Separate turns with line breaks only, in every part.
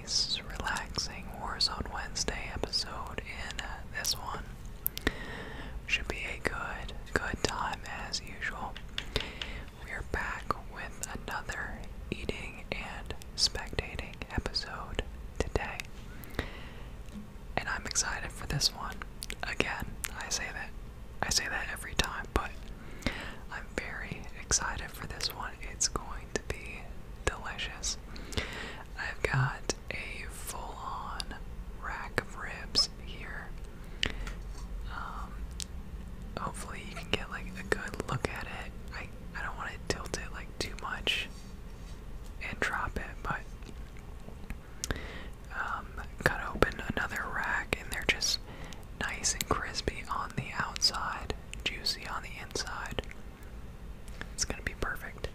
nice, relaxing Warzone Wednesday episode in uh, this one. Should be a good, good time as usual. We're back with another eating and spectating episode today. And I'm excited for this one. Again, I say that I say that every time, but I'm very excited for this one. It's going to be delicious. I've got a full on rack of ribs here. Um, hopefully, you can get like a good look at it. I, I don't want to tilt it like too much and drop it, but um, cut open another rack, and they're just nice and crispy on the outside, juicy on the inside. It's gonna be perfect.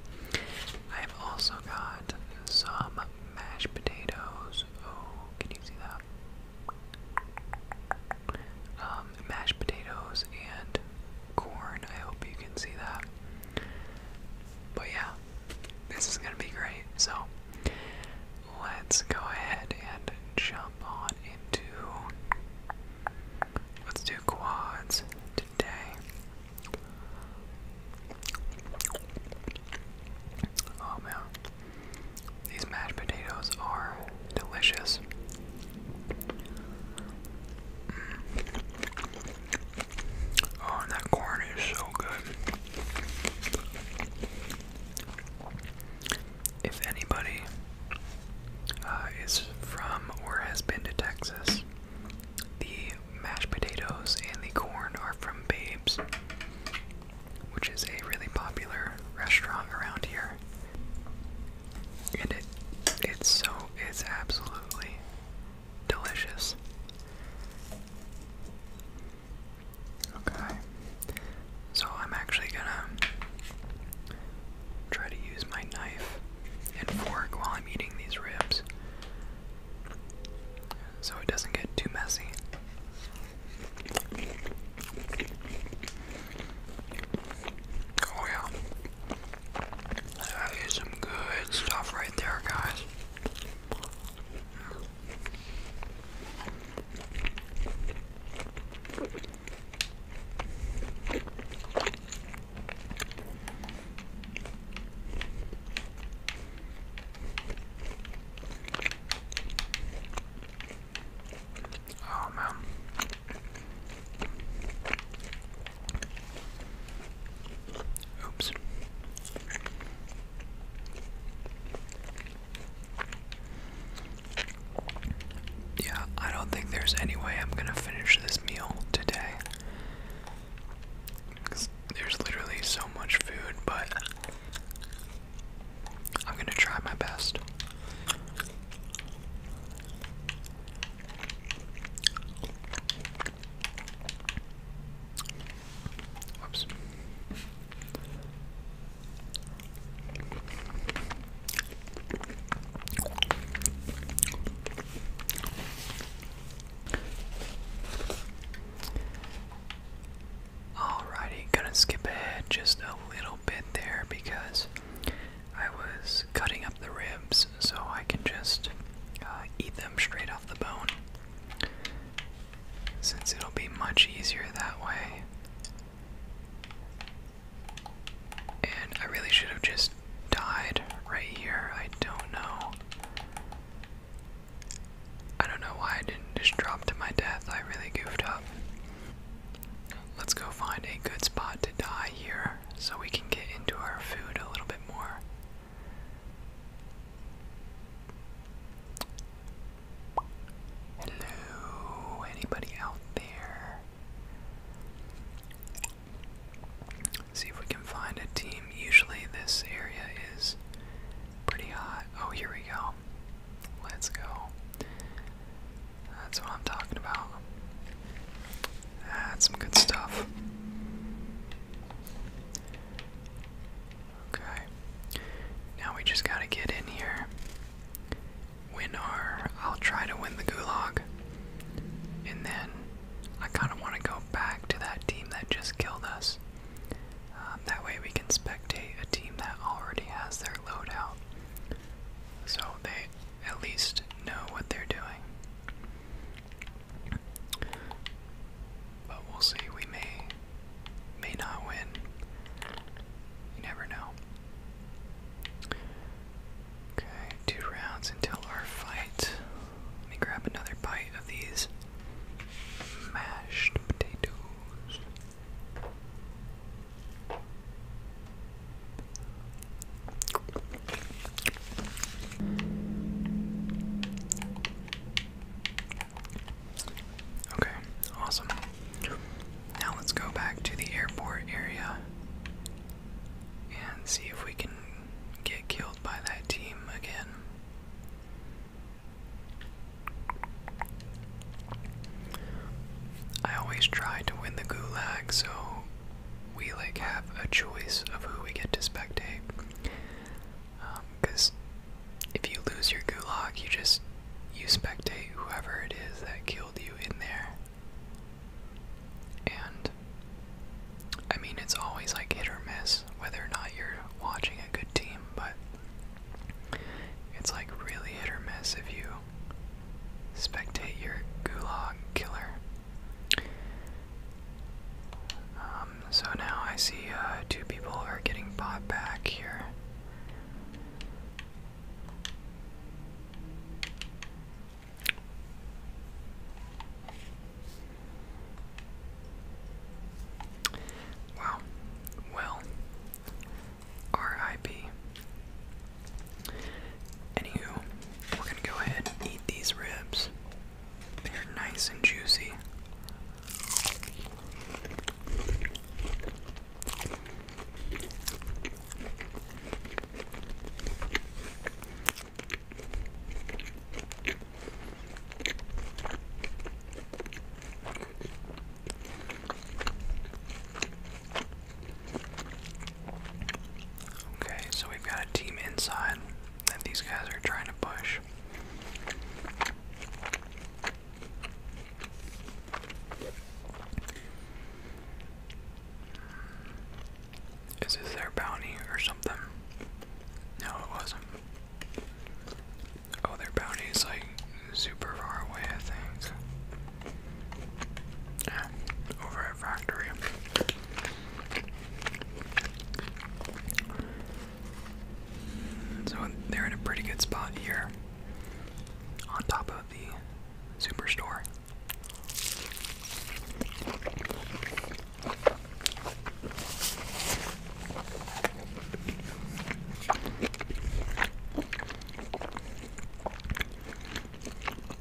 I've also got some mashed potatoes. Oh, can you see that? Um, mashed potatoes and corn. I hope you can see that. But yeah, this is gonna be great. So let's go ahead and jump on into Let's do quads today. Oh man, these mashed potatoes are delicious. Mm. Oh, that corn is so good. If anybody uh, is from or has been to Texas. The mashed potatoes and the corn are from Babes, which is a really popular restaurant around here. And it it's so it's absolutely delicious. Okay. So I'm actually gonna try to use my knife and fork while I'm eating these ribs so it doesn't get too messy. Oh, yeah. That is some good stuff right there, guys. Oh man. Oops. Yeah, I don't think there's any way I'm gonna finish this meal today. there's literally so much food, but I'm gonna try my best. Whoops. Alrighty, gonna skip ahead just a little bit there because I was cutting up the ribs so I can just uh, eat them straight off the bone. Since it'll be much easier that way. And I really should have just died right here. I don't know. I don't know why I didn't just drop to my death. I really goofed up. Let's go find a good spot to die here so we can get into our food a little bit more. Hello, anybody out there? See if we can find a team. Usually this area is pretty hot. Oh, here we go. Let's go. That's what I'm talking about. That's some good stuff. Okay. Now we just gotta get in here win our. I'll try to win the gulag. And then I kind of want to go back to that team that just killed us. Um, that way we can spectate a team that already has their loadout. So they at least know what they're doing. But we'll see, we may may not win. You never know. Okay, two rounds until our fight. Let me grab another bite of these mashed potatoes. Okay, awesome. Now let's go back to the airport area and see if we can get killed by that team again. I always try to win the gulag, so we like have a choice of who we get to spectate. Because um, if you lose your gulag, you just you spectate whoever it is that kills you in there. And I mean, it's always like hit or miss whether or not you're watching a good team, but it's like really hit or miss if you spectate your gulag killer. Um, so now I see uh, two people are getting bought back here. Wow. Well, RIP. Anywho, we're gonna go ahead and eat these ribs. They're nice and juicy. Okay, so we've got a team inside that these guys are trying to push. Is this their bounty or something? No, it wasn't. Oh, their bounty is like super far away, I think. Yeah, over at Factory. So they're in a pretty good spot here. On top of the superstore.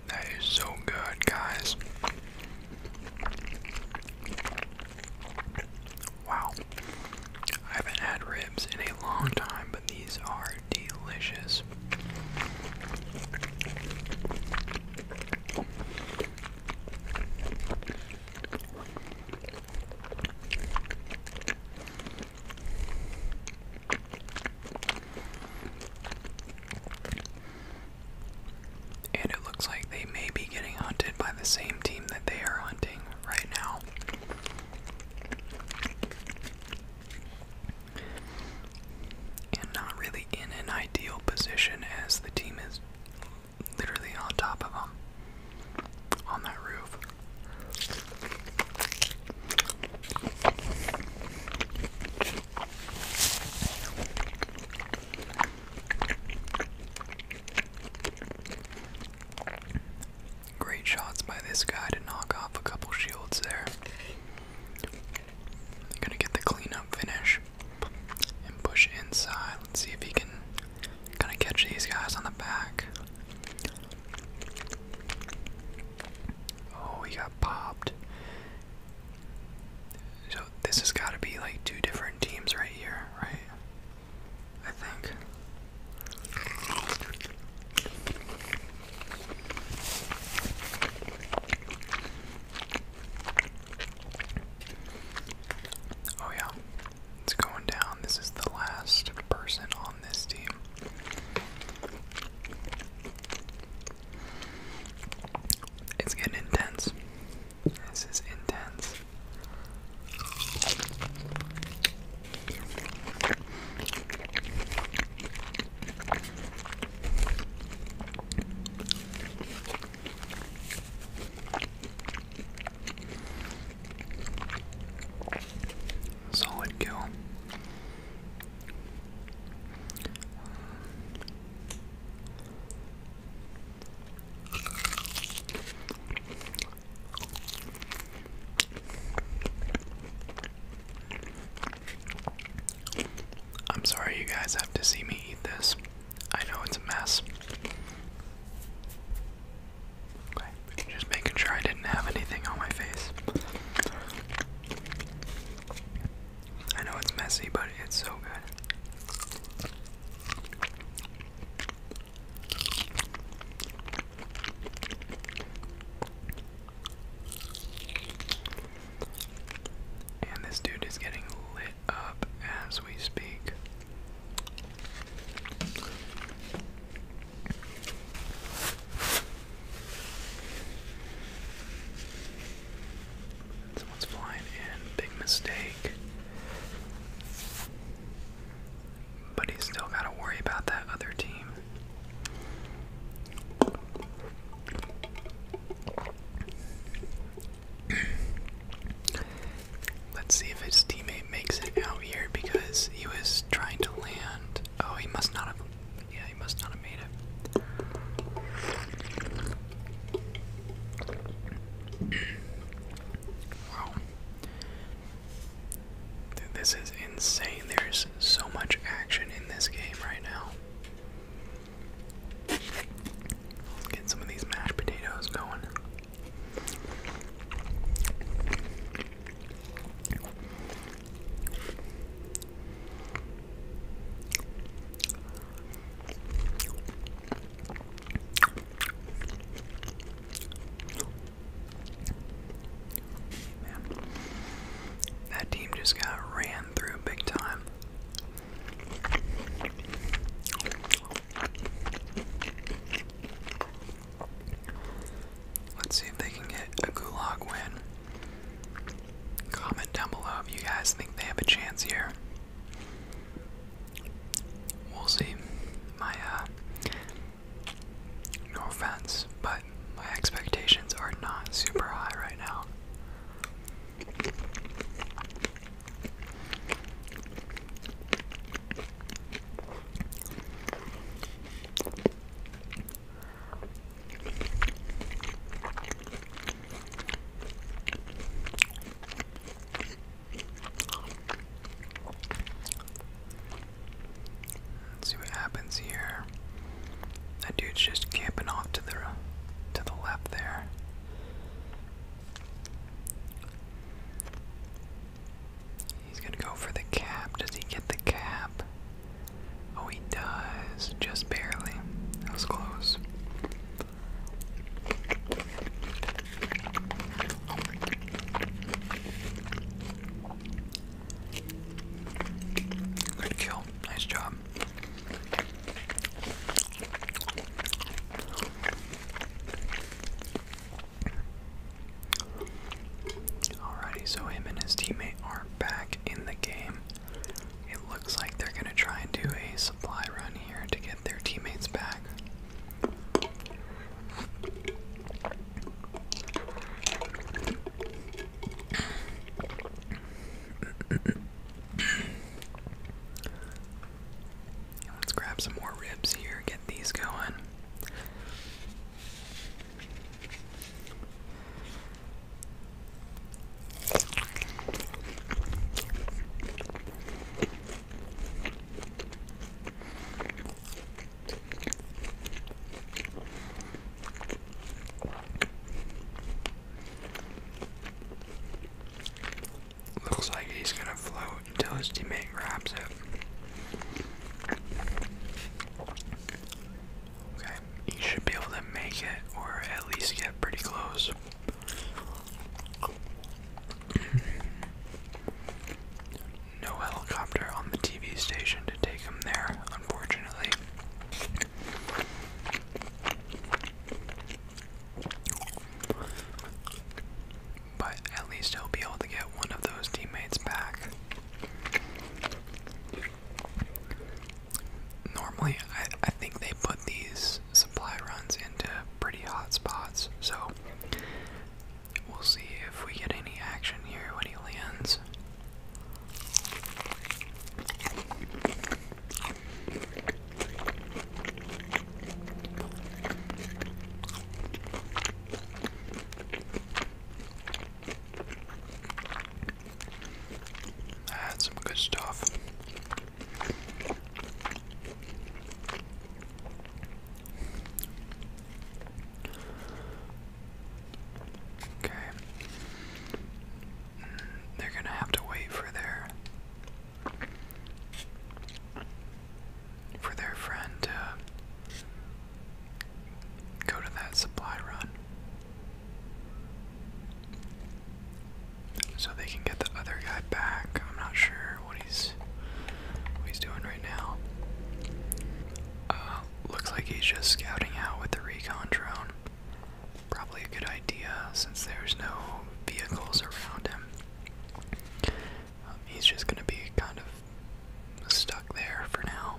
That is so good, guys. Wow. I haven't had ribs in a long time, these are delicious. And it looks like they may be getting hunted by the same team that they are hunting right now and not really in an ideal position as the team is literally on top of them on that roof. Great shots by this guy to knock off a couple shields there. Gonna get the cleanup finish and push inside. Let's see if he can kind of catch these guys on the back. Oh, he got popped. So this has got to be like two different teams right here, right? I think. Oh, yeah, it's going down. This is the last person on this team. It's getting intense. This is intense. Solid kill. I'm sorry you guys have to see me eat this. I know it's a mess. just making sure I didn't have anything on my face. I know it's messy, but it's so good. And this dude is getting lit up as we speak. Someone's flying in. Big mistake. But he's still got to worry about that other team. Let's see if his teammate makes it out here because he was trying to land. Oh, he must not have. Yeah, he must not have made it. This is insane. There's so much action in this game right now. get some of these mashed potatoes going that team just got ran through big time. Let's see if they can get a gulag win. Comment down below if you guys think they have a chance here. We'll see. My uh, no offense, but my expectations are not super high right now see what happens here. That dude's just camping off to the to the left there. He's gonna go for the cap. Does he get the cap? Oh, he does. Just barely. That was close. Good kill. Nice job. Alrighty, so him and his teammate are back in the game. It looks like they're gonna try and do a supply run here to get their teammates back. Let's grab some more ribs here, get these going. Looks like he's gonna float until his teammate grabs it. Okay, he should be able to make it or at least get pretty close no helicopter on the TV station to take him there, unfortunately. But at least he'll be able to get one of those teammates back. Normally, I, I think they put these supply runs into pretty hot spots, so We'll see if we get any action here when he lands. That's some good stuff. Okay. They're gonna have to wait for their for their friend to go to that supply run. So they can get the other guy back. I'm not sure what he's doing right now. Uh, looks like he's just scouting out with the recon drone. Probably a good idea since there's no vehicles around him. Um, he's just gonna be kind of stuck there for now.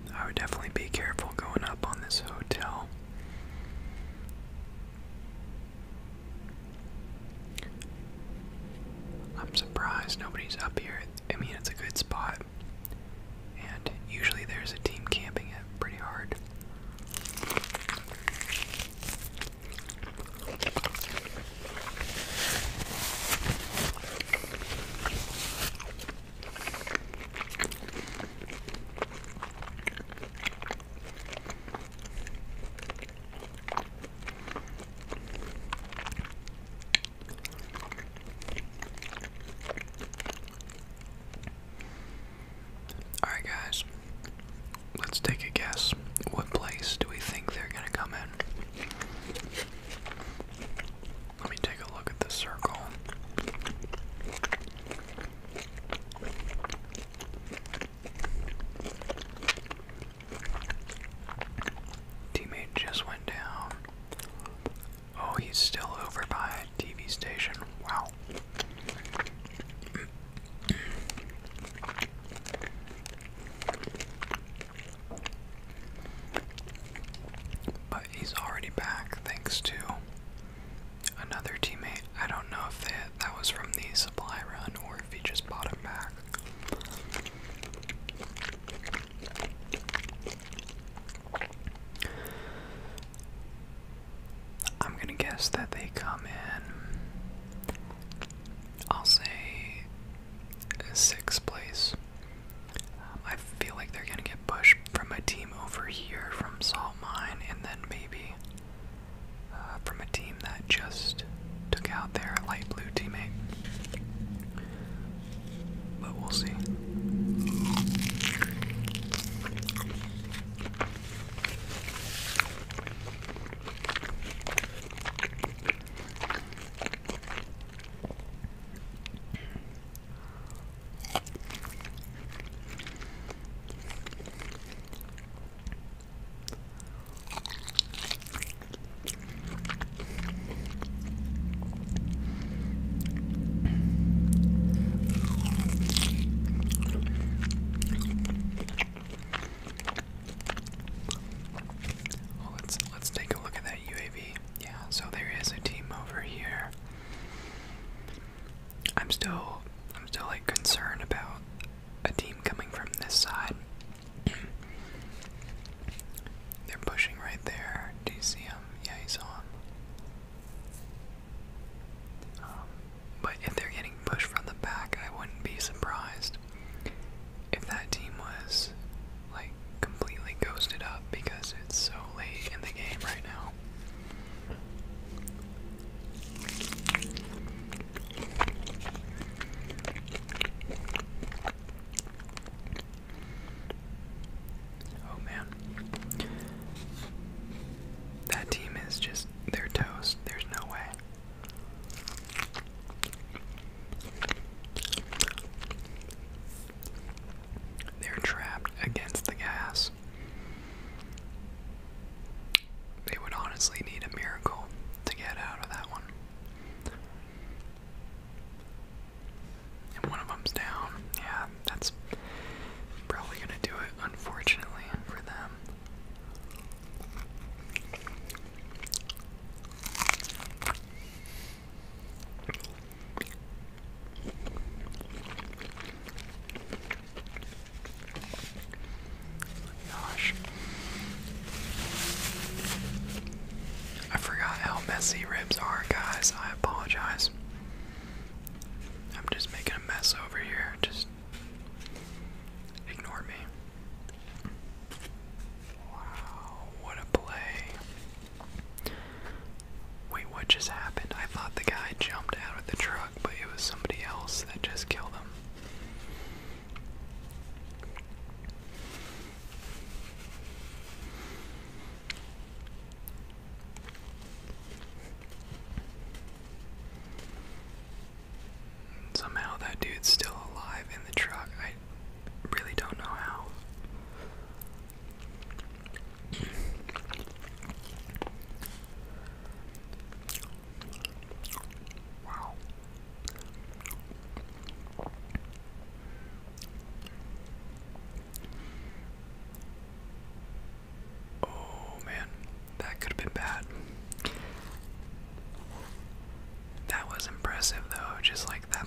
I would definitely be careful going up on this hotel. I'm surprised nobody's up here. I mean, it's a good spot. And usually there's a team camping it pretty hard. Alright, guys, let's take a guess. What place do we think they're gonna come in? Let me take a look at the circle. Teammate just went down. Oh, he's still over by a TV station. Wow. But he's already back thanks to another teammate. I don't know if that was from the supply run or if he just bought him back. I'm gonna guess that they come in, I'll say sixth place. I feel like they're gonna get pushed from a team over here from Salt Mine, and then maybe uh, from a team that just took out their light blue teammate. But we'll see let's let's take a look at that UAV. Yeah, so there is a team over here. I'm still I'm still like concerned about a team coming from this side. They're pushing right there. Do you see him? Yeah, he's on. Um, but if they're getting pushed from the back, I wouldn't be surprised if that team was like completely ghosted up because it's so late in the game right now. Oh man. That team is just, they're toast. There's no way. They're trapped against the gas. They would honestly need a miracle to get out of that one. And one of them's down. Yeah, that's probably going to do it, unfortunately, for them. Oh gosh. I forgot how messy ribs are, guys. I apologize. I'm just making a mess over here. Just ignore me. Wow, what a play. Wait, what just happened? I thought the guy jumped out of the truck, but it was somebody else that just killed him. Somehow that dude's still alive in the truck. I really don't know how. Oh man, that could have been bad. That was impressive though, just like that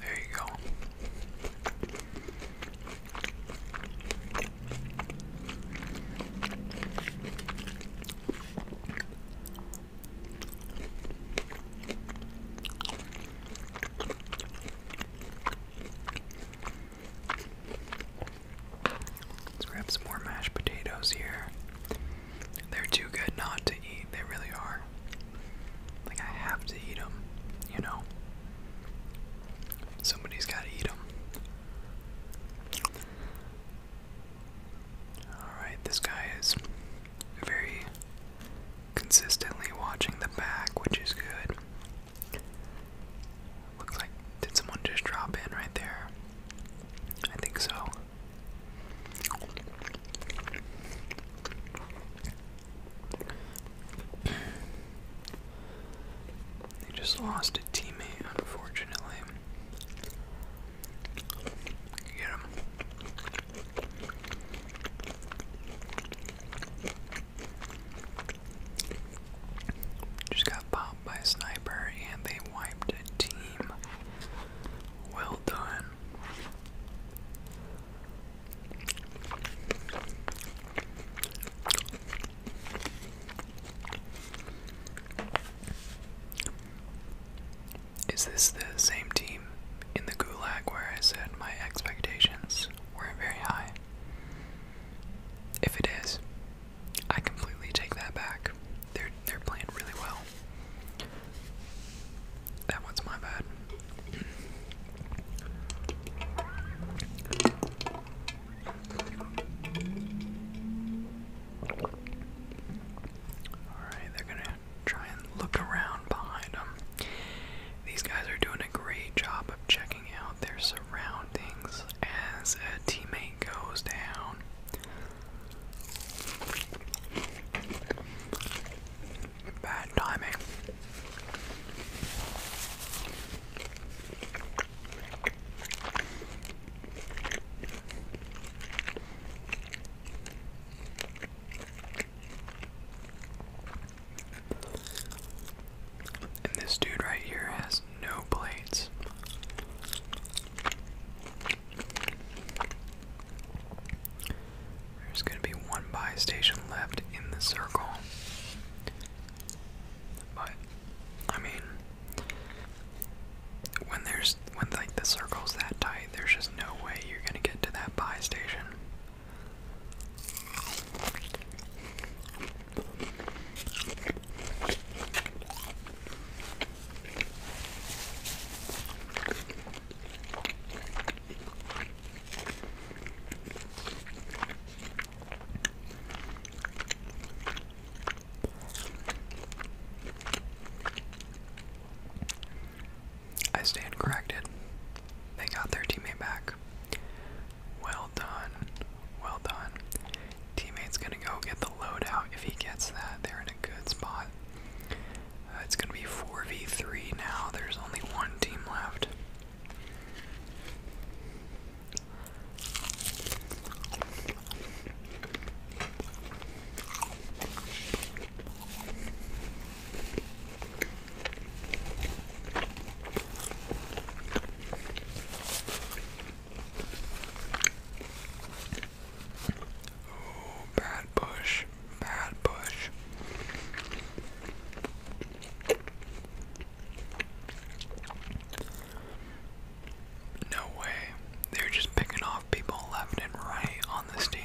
There you go. Let's grab some more mashed potatoes here. They're too good not to eat, they really are. Like I have to eat them, you know. Somebody's got to eat them. Alright, this guy is very consistently watching the back, which is good. Looks like, did someone just drop in right there? I think so they just lost a teammate, unfortunately. Get him. Just got popped by a sniper and they wiped a team. Well done. Is this the same team in the gulag where I said my expectations weren't very high? If it is, I completely take that back. They're they're playing really well. That one's my bad. Alright, they're gonna try and look around behind them. These guys are doing a great job of checking out their surroundings as a teammate goes down. Bad timing. And this dude right here has no plates. There's going to be one buy station left in the circle. But I mean when there's when like the circle's that tight, there's just no way you're going to get to that buy station. I stand corrected. They got their teammate back. Well done. Well done. Teammate's gonna go get the loadout if he gets that. They're in a good spot. Uh, it's going to be 4v3 now. There's only one team left. Oh, bad Bush, bad Bush! No way. They're just picking off people left and right on this team.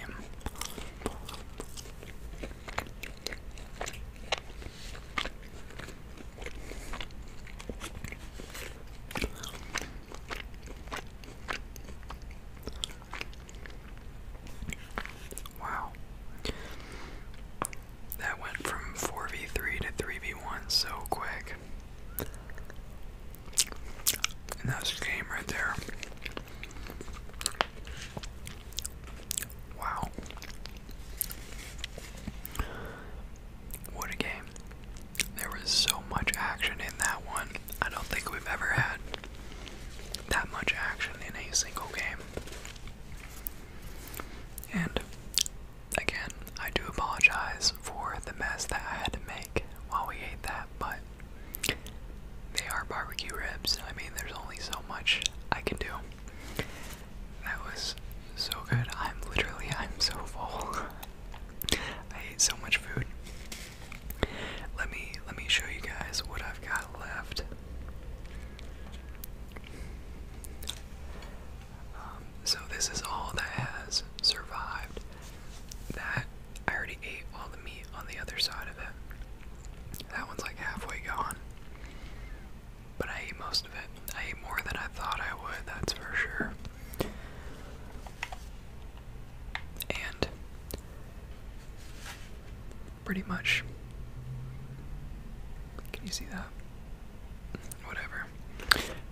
Wow. That went from 4v3 to 3v1 so quick. And that's the game right there. Wow. What a game. There was so much action in that one. I don't think we've ever had that much action in a single game. And again, I do apologize for the mess that I had to make while we ate that, but they are barbecue ribs. I mean, there's only so much I can do. That was so good. I'm literally, I'm so full. I ate so much food. Let me let me show you guys what I've got left. Um, so this is all that has survived. That I already ate all the meat on the other side of it. That one's like halfway gone. But I ate most of it. I ate more than I thought I would, that's for sure. And pretty much, can you see that? Whatever.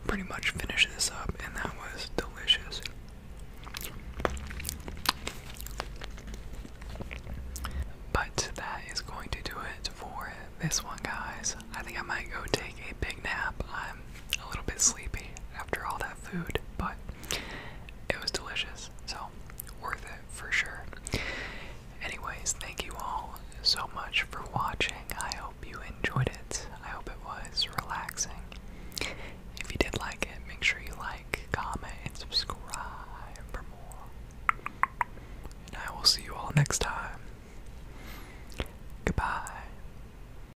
Pretty much finish this up, and that was delicious. But that is going to do it for this one, guys. I think I might go take a big nap. I'm a little bit sleepy after all that food, but it was delicious, so worth it for sure. Anyways, thank you all so much for watching. I hope you enjoyed it. I hope it was relaxing. If you did like it, make sure you like, comment, and subscribe for more. And I will see you all next time. Goodbye.